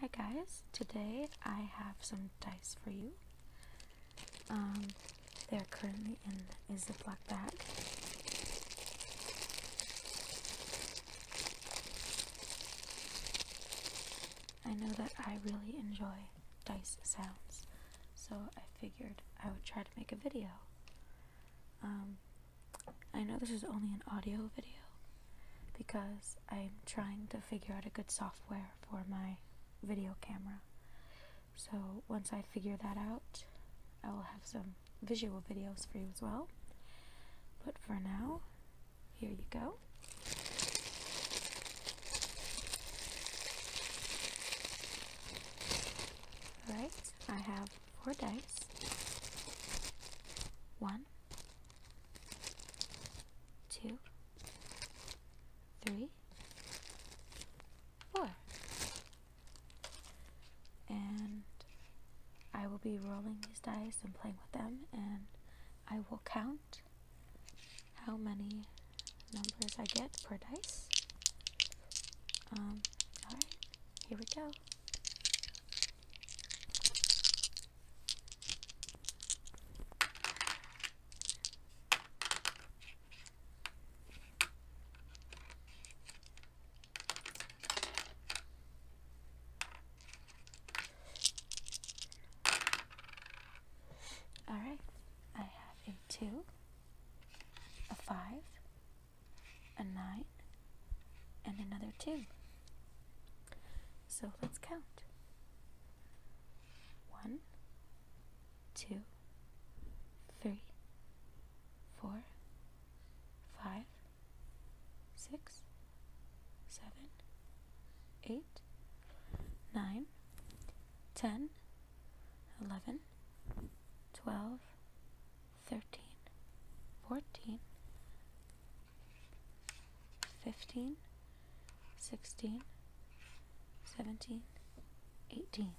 Hi guys, today I have some dice for you. Um, they're currently in a Ziploc bag. I know that I really enjoy dice sounds, so I figured I would try to make a video. Um, I know this is only an audio video because I'm trying to figure out a good software for my video camera. So once I figure that out, I will have some visual videos for you as well. But for now, here you go. Alright, I have four dice. One, two, three, four. And I will be rolling these dice and playing with them, and I will count how many numbers I get per dice. Um, alright, here we go. All right, I have a two, a five, a 9, and another 2. So let's count. One, two, three, four, five, six, seven, eight, nine, ten, eleven, twelve thirteen, fourteen, fifteen, sixteen, seventeen, eighteen.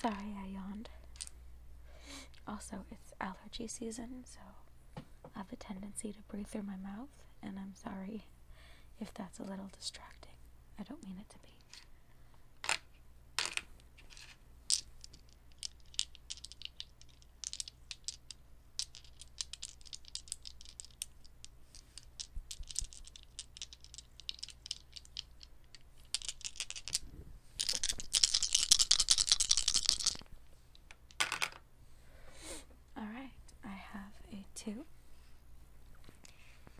Sorry, I yawned. Also, it's allergy season, so I have a tendency to breathe through my mouth, and I'm sorry if that's a little distracting. I don't mean it to be. All right, I have a two,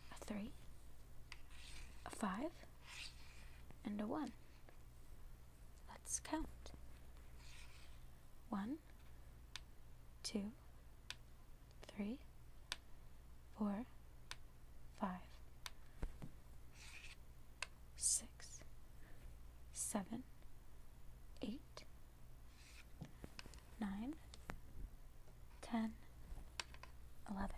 a three, a five, and a 1. Let's count. One, two, three, four, five, six, seven, eight, nine, ten, eleven.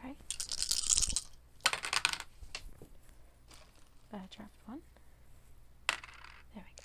All right. Uh, draft one. There we go.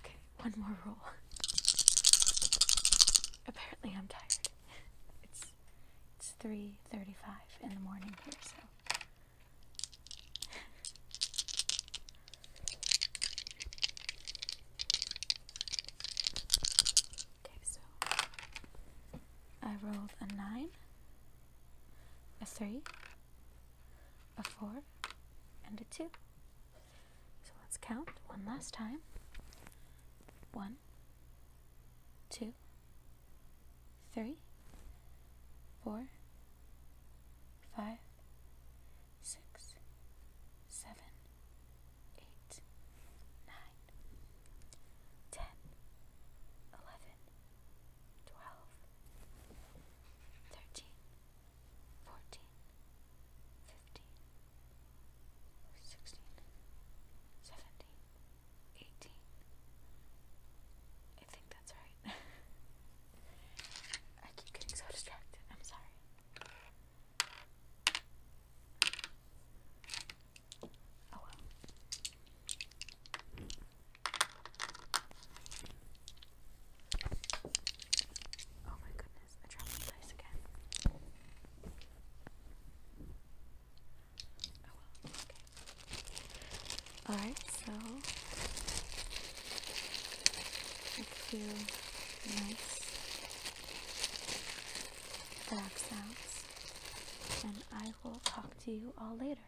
Okay, one more roll. Apparently, I'm tired. It's it's 3:35 in the morning here, so. Okay, so I rolled a 9, a 3, a 4, and a 2. So let's count one last time. One, two, three, four, five, six, seven, eight, nine, ten, eleven, twelve, thirteen fourteen, fifteen, sixteen, seventeen, eighteen. I think that's right. I keep getting so distracted. I'm sorry. Oh well. Oh my goodness, I dropped my dice again. Oh well, okay. Alright, so I feel nice back sounds, and I will talk to you all later.